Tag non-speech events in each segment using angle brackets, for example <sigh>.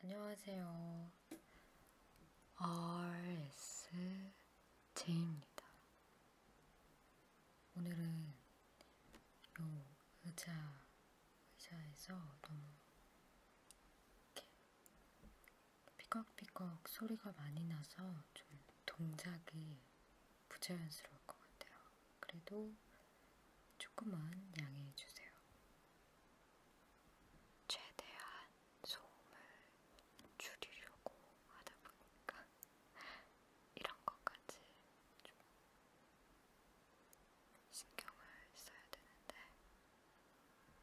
안녕하세요. RSJ입니다. 오늘은 요 의자, 의자에서 너무 이렇게 삐걱삐걱 소리가 많이 나서 좀 동작이 부자연스러울 것 같아요. 그래도 조금만 양해해 주세요. 최대한 소음을 줄이려고 하다 보니까 이런 것까지 좀 신경을 써야 되는데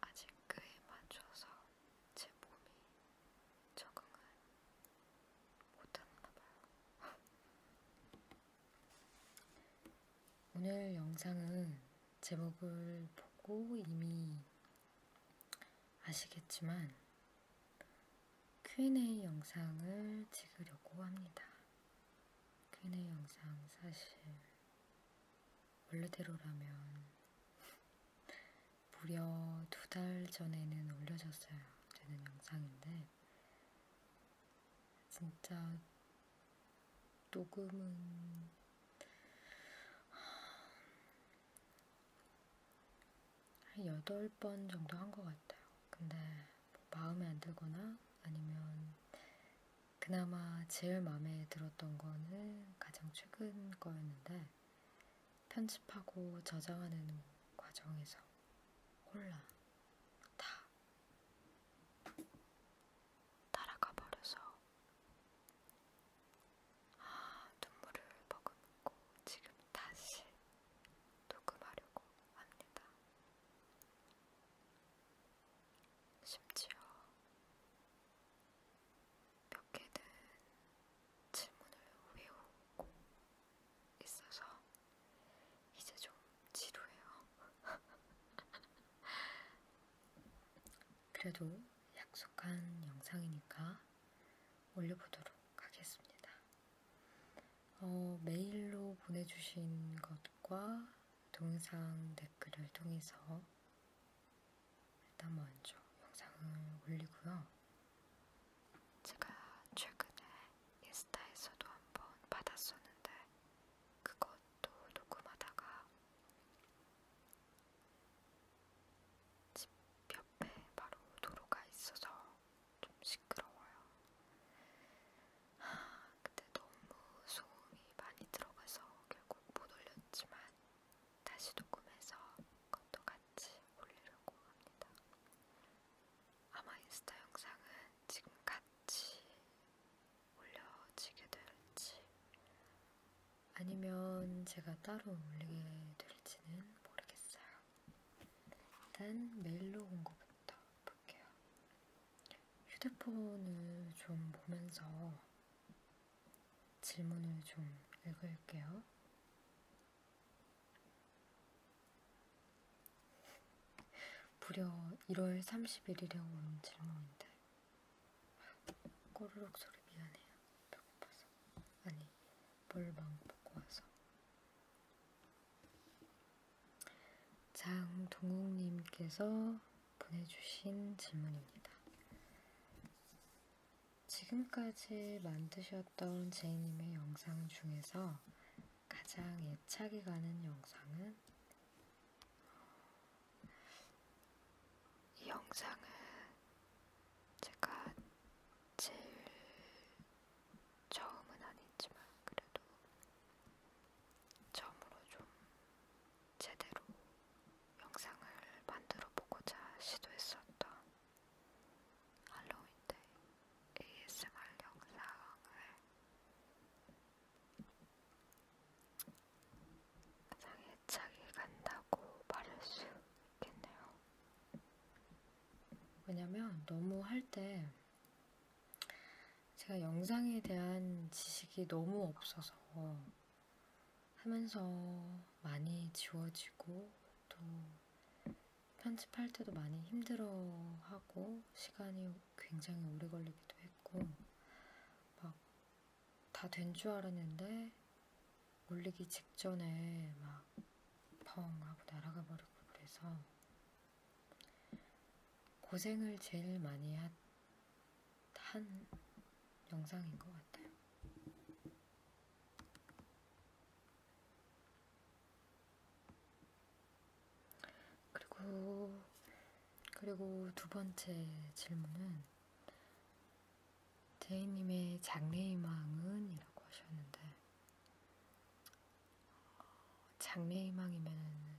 아직 그에 맞춰서 제 몸이 적응을 못하나 봐요. 오늘 영상은 제목을 보고 이미 아시겠지만 Q&A 영상을 찍으려고 합니다. Q&A 영상 사실 원래대로라면 무려 두 달 전에는 올려졌어야 되는 영상인데 진짜 녹음은 한 여덟 번 정도 한 것 같아요. 근데 뭐 마음에 안 들거나 아니면 그나마 제일 마음에 들었던 거는 가장 최근 거였는데 편집하고 저장하는 과정에서 콜라 다 날아가 버려서 아, 눈물을 머금고 지금 다시 녹음하려고 합니다. 심지어 몇 개는 질문을 외우고 있어서 이제 좀 지루해요. <laughs> 그래도 약속한 영상이니까 올려보도록 하겠습니다. 어, 메일로 보내주신 것과 동영상 댓글을 통해서 일단 먼저 영상을 올리고요. 제가 최근에 인스타에서도 한번 받았었는데 그것도 녹음하다가 집 옆에 바로 도로가 있어서 좀 시끄러워요. 아, 근데 너무 소음이 많이 들어가서 결국 못 올렸지만 다시 녹음해서 그것도 같이 올리려고 합니다. 아마 인스타 영상은 지금 같이 올려지게 될지 아니면 제가 따로 올리게 될지는 모르겠어요. 일단 메일로 온 거부터 볼게요. 휴대폰을 좀 보면서 질문을 좀 읽을게요. 무려 1월 31일에 온 질문인데 꼬르륵 소리 미안해요. 배고파서. 아니, 뭘망 먹고 와서. 장동욱님께서 보내주신 질문입니다. 지금까지 만드셨던 제이님의 영상 중에서 가장 애착이 가는 영상은 이 영상은 제가 제일 처음은 아니지만 그래도 처음으로 좀 제대로 영상을 만들어 보고자 시도했었던 할로윈 때 ASMR 영상을 장애차게 간다고 말할 수 있겠네요. 왜냐면 너무 할 때 제가 영상에 대한 지식이 너무 없어서 하면서 많이 지워지고 또 편집할 때도 많이 힘들어하고 시간이 굉장히 오래 걸리기도 했고 막 다 된 줄 알았는데 올리기 직전에 막 펑 하고 날아가 버리고 그래서 고생을 제일 많이 하, 한 영상인 것 같아요. 그리고 그리고 두 번째 질문은 제이님의 장래희망은이라고 하셨는데 장래희망이면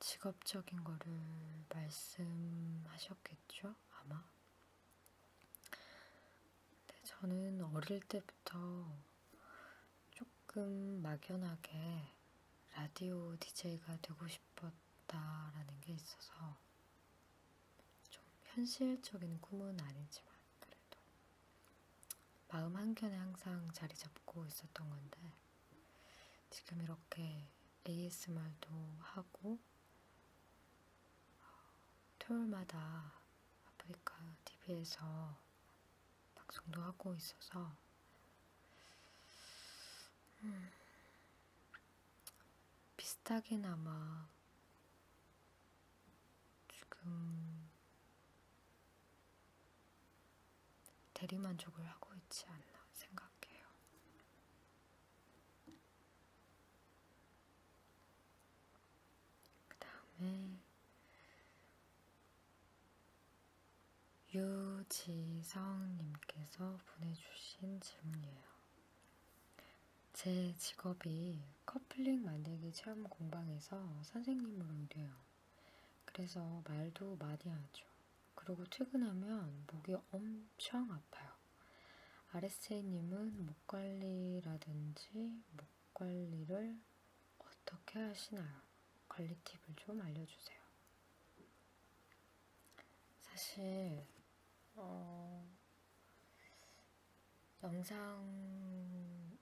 직업적인 거를 말씀하셨겠죠? 아마. 근데 저는 어릴 때부터 조금 막연하게 라디오 DJ가 되고 싶었다라는 게 있어서 좀 현실적인 꿈은 아니지만 그래도 마음 한켠에 항상 자리 잡고 있었던 건데 지금 이렇게 ASMR도 하고 어, 토요일마다 아프리카 TV에서 방송도 하고 있어서 음, 비슷하게나마 지금 대리만족을 하고 있지 않나 생각해요. 그 다음에 유지성님께서 보내주신 질문이에요. 제 직업이 커플링 만들기 체험 공방에서 선생님으로 일해요. 그래서 말도 많이 하죠. 그리고 퇴근하면 목이 엄청 아파요. RSA님은 목 관리라든지 목 관리를 어떻게 하시나요? 관리 팁을 좀 알려주세요. 사실 어... 영상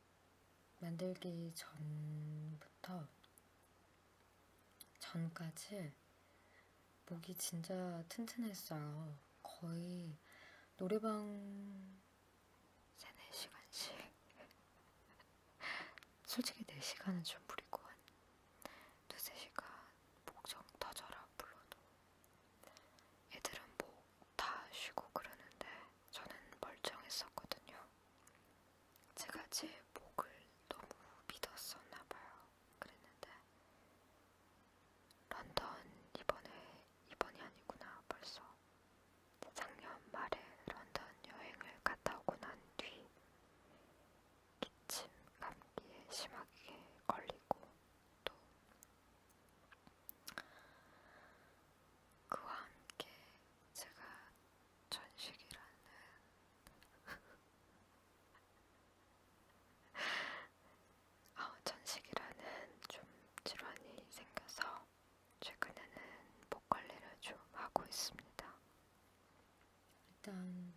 만들기 전부터 전까지 목이 진짜 튼튼했어요. 거의 노래방 3, 4시간씩 <laughs> 솔직히 4시간은 좀 무리고 한 2, 3시간 목정 터져라 불러도 애들은 목 다 쉬고 그러는데 저는 멀쩡했었거든요. 제가 제 목을 너무 믿었었나봐요. 그랬는데 런던 이번에 이번이 아니구나 벌써 작년 말에 런던 여행을 갔다 오고 난 뒤 기침 감기에 심하게 걸리고 또 그와 함께 제가 전식이라는 어, <laughs> 전식이라는 좀 질환이 생겨서 최근에는 목 관리를 좀 하고 있습니다. 일단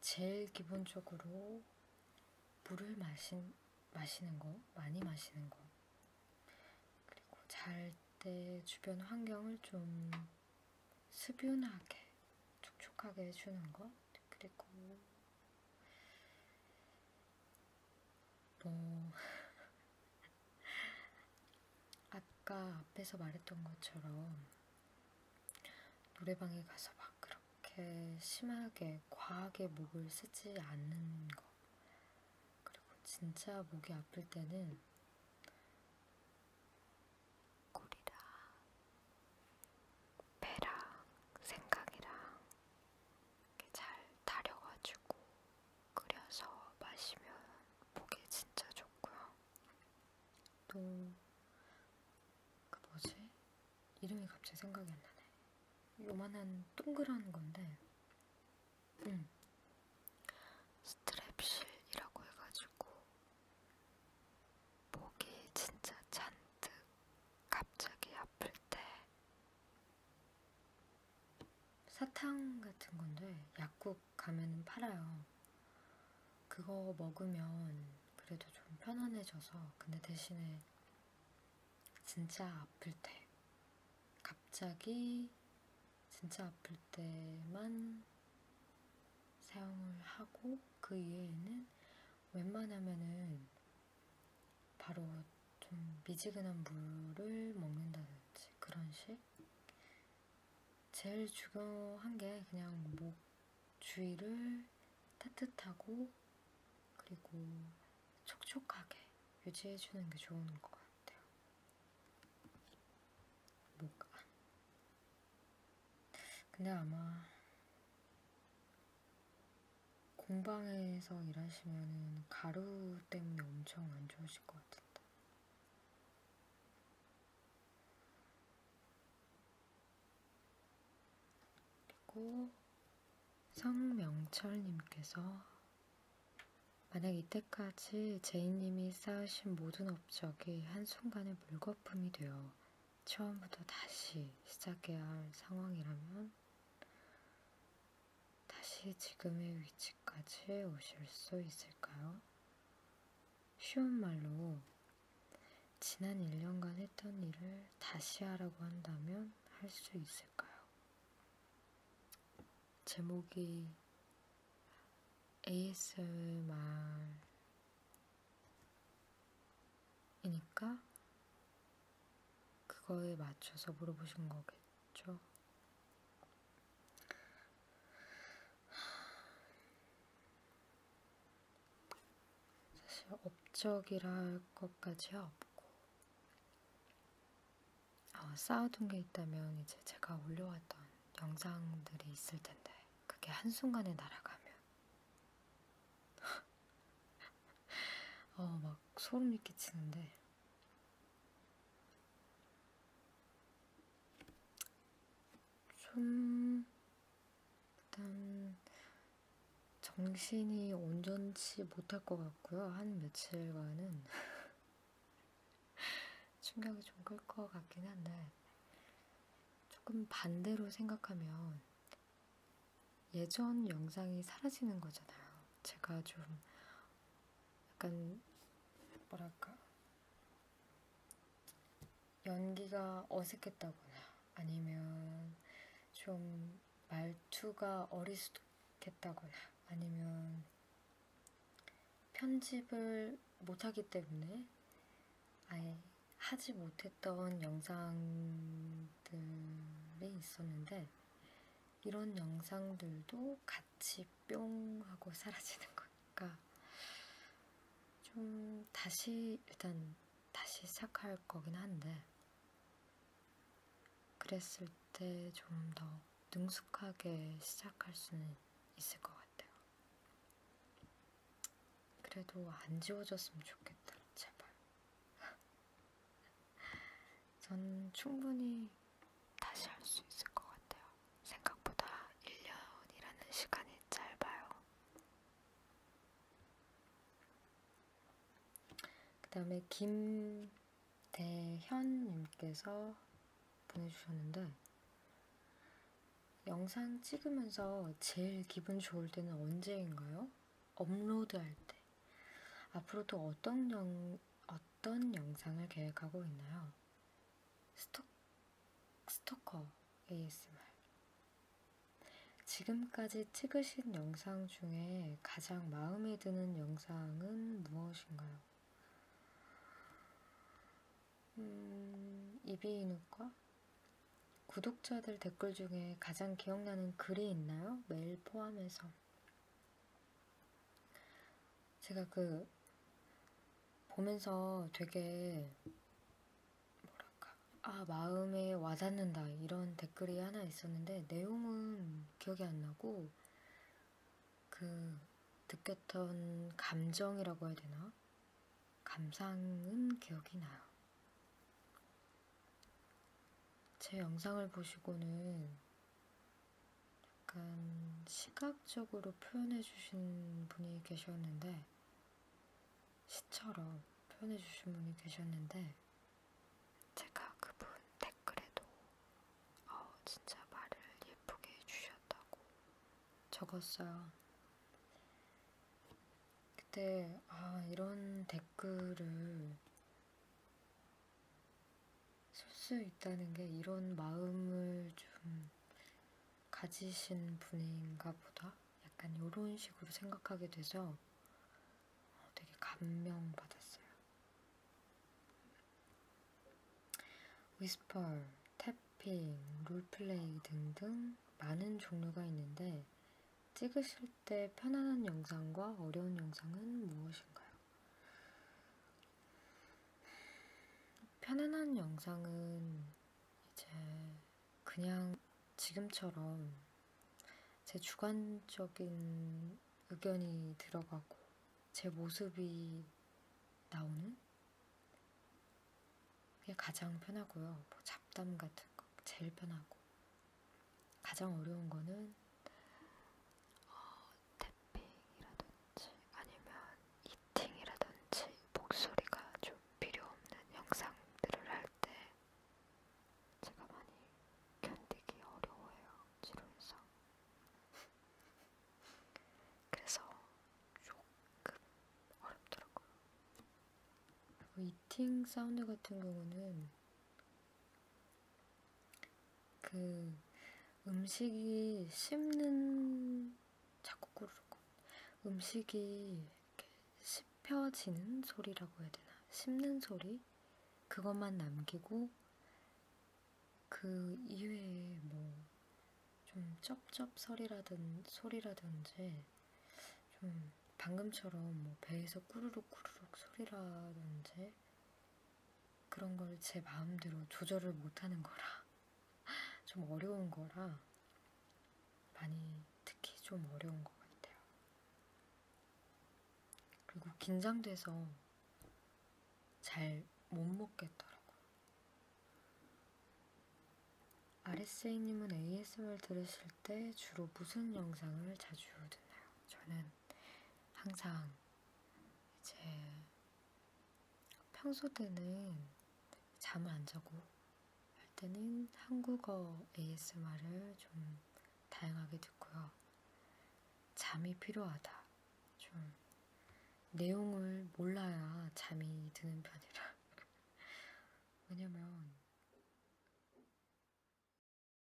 제일 기본적으로 물을 마신, 마시는 거, 많이 마시는 거. 그리고 잘 때 주변 환경을 좀 수변하게, 촉촉하게 해주는 거. 그리고 뭐 <laughs> 아까 앞에서 말했던 것처럼 노래방에 가서 막 그렇게 심하게 과하게 목을 쓰지 않는 거 그리고 진짜 목이 아플 때는 꼬리랑 배랑 생각이랑 잘 다려가지고 끓여서 마시면 목에 진짜 좋고요. 또그 뭐지? 이름이 갑자기 생각이 안 나네. 요만한 동그란 건데, 음. 스트랩실이라고 해가지고 목이 진짜 잔뜩 갑자기 아플 때 사탕 같은 건데 약국 가면 팔아요. 그거 먹으면 그래도 좀 편안해져서 근데 대신에 진짜 아플 때 갑자기 진짜 아플 때만 사용을 하고 그 이외에는 웬만하면은 바로 좀 미지근한 물을 먹는다든지 그런 식. 제일 중요한 게 그냥 목 주위를 따뜻하고 그리고 촉촉하게 유지해주는 게 좋은 것 같아요. 목 안. 근데 아마 공방에서 일하시면 가루 때문에 엄청 안 좋으실 것 같은데. 그리고 성명철님께서 만약 이때까지 제이님이 쌓으신 모든 업적이 한순간에 물거품이 되어 처음부터 다시 시작해야 할 상황이라면 다시 지금의 위치까지 오실 수 있을까요? 쉬운 말로 지난 1년간 했던 일을 다시 하라고 한다면 할 수 있을까요? 제목이 ASMR이니까 그거에 맞춰서 물어보신 거겠죠? 사실 업적이라 할 것까지야 없고 어, 쌓아둔 게 있다면 이제 제가 올려왔던 영상들이 있을 텐데 그게 한순간에 날아가면 <laughs> 어막 소름이 끼치는데 좀 일단 정신이 온전치 못할 것 같고요. 한 며칠간은 <laughs> 충격이 좀 클 것 같긴 한데 조금 반대로 생각하면 예전 영상이 사라지는 거잖아요. 제가 좀 약간 뭐랄까 연기가 어색했다거나 아니면 좀 말투가 어리숙했다거나 아니면 편집을 못하기 때문에 아예 하지 못했던 영상들이 있었는데 이런 영상들도 같이 뿅 하고 <laughs> 사라지는 거니까 좀 다시 일단 다시 시작할 거긴 한데 그랬을 때 좀 더 능숙하게 시작할 수는 있을 것 같아요. 그래도 안 지워졌으면 좋겠다, 제발. <laughs> 전 충분히 다시 할 수 있을 것 같아요. 생각보다 1년이라는 시간이 짧아요. 그 다음에 김대현님께서 보내주셨는데 영상 찍으면서 제일 기분 좋을 때는 언제인가요? 업로드할 때 앞으로 또 어떤, 영, 어떤 영상을 계획하고 있나요? 스토, 스토커 ASMR 지금까지 찍으신 영상 중에 가장 마음에 드는 영상은 무엇인가요? 음, 이비인후과? 구독자들 댓글 중에 가장 기억나는 글이 있나요? 매일 포함해서 제가 그 보면서 되게 뭐랄까 아 마음에 와닿는다 이런 댓글이 하나 있었는데 내용은 기억이 안 나고 그 느꼈던 감정이라고 해야 되나? 감상은 기억이 나요. 제 영상을 보시고는 약간 시각적으로 표현해 주신 분이 계셨는데 시처럼 표현해 주신 분이 계셨는데 제가 그분 댓글에도 어, 진짜 말을 예쁘게 해주셨다고 적었어요. 그때 아 이런 댓글을 쓸수 있다는 게 이런 마음을 좀 가지신 분인가 보다. 약간 이런 식으로 생각하게 돼서 어, 되게 감명받았어요. 위스펄, 태핑, 롤플레이 등등 많은 종류가 있는데 찍으실 때 편안한 영상과 어려운 영상은 무엇인가요? 편안한 영상은 이제 그냥 지금처럼 제 주관적인 의견이 들어가고 제 모습이 나오는 그게 가장 편하고요. 뭐 잡담 같은 거 제일 편하고 가장 어려운 거는 어, 태핑이라든지 아니면 이팅이라든지 목소리가 좀 필요 없는 영상들을 할 때 제가 많이 견디기 어려워요. 지루해서. 그래서 조금 어렵더라고요. 이팅 사운드 같은 경우는 그 음식이 씹는 자꾸 꾸르륵 음식이 이렇게 씹혀지는 소리라고 해야 되나 씹는 소리 그것만 남기고 그 이외에 뭐 좀 쩝쩝소리라든 소리라든지 좀 방금처럼 뭐 배에서 꾸르륵 꾸르륵 소리라든지 그런 걸 제 마음대로 조절을 못하는 거라 <laughs> 좀 어려운 거라 많이 특히 좀 어려운 것 같아요. 그리고 긴장돼서 잘 못 먹겠더라고요. 아레세이님은 ASMR 들으실 때 주로 무슨 영상을 자주 듣나요? 저는 항상 이제 평소 때는 잠을 안 자고 할 때는 한국어 ASMR을 좀 다양하게 듣고요. 잠이 필요하다. 좀 내용을 몰라야 잠이 드는 편이라. <laughs> 왜냐면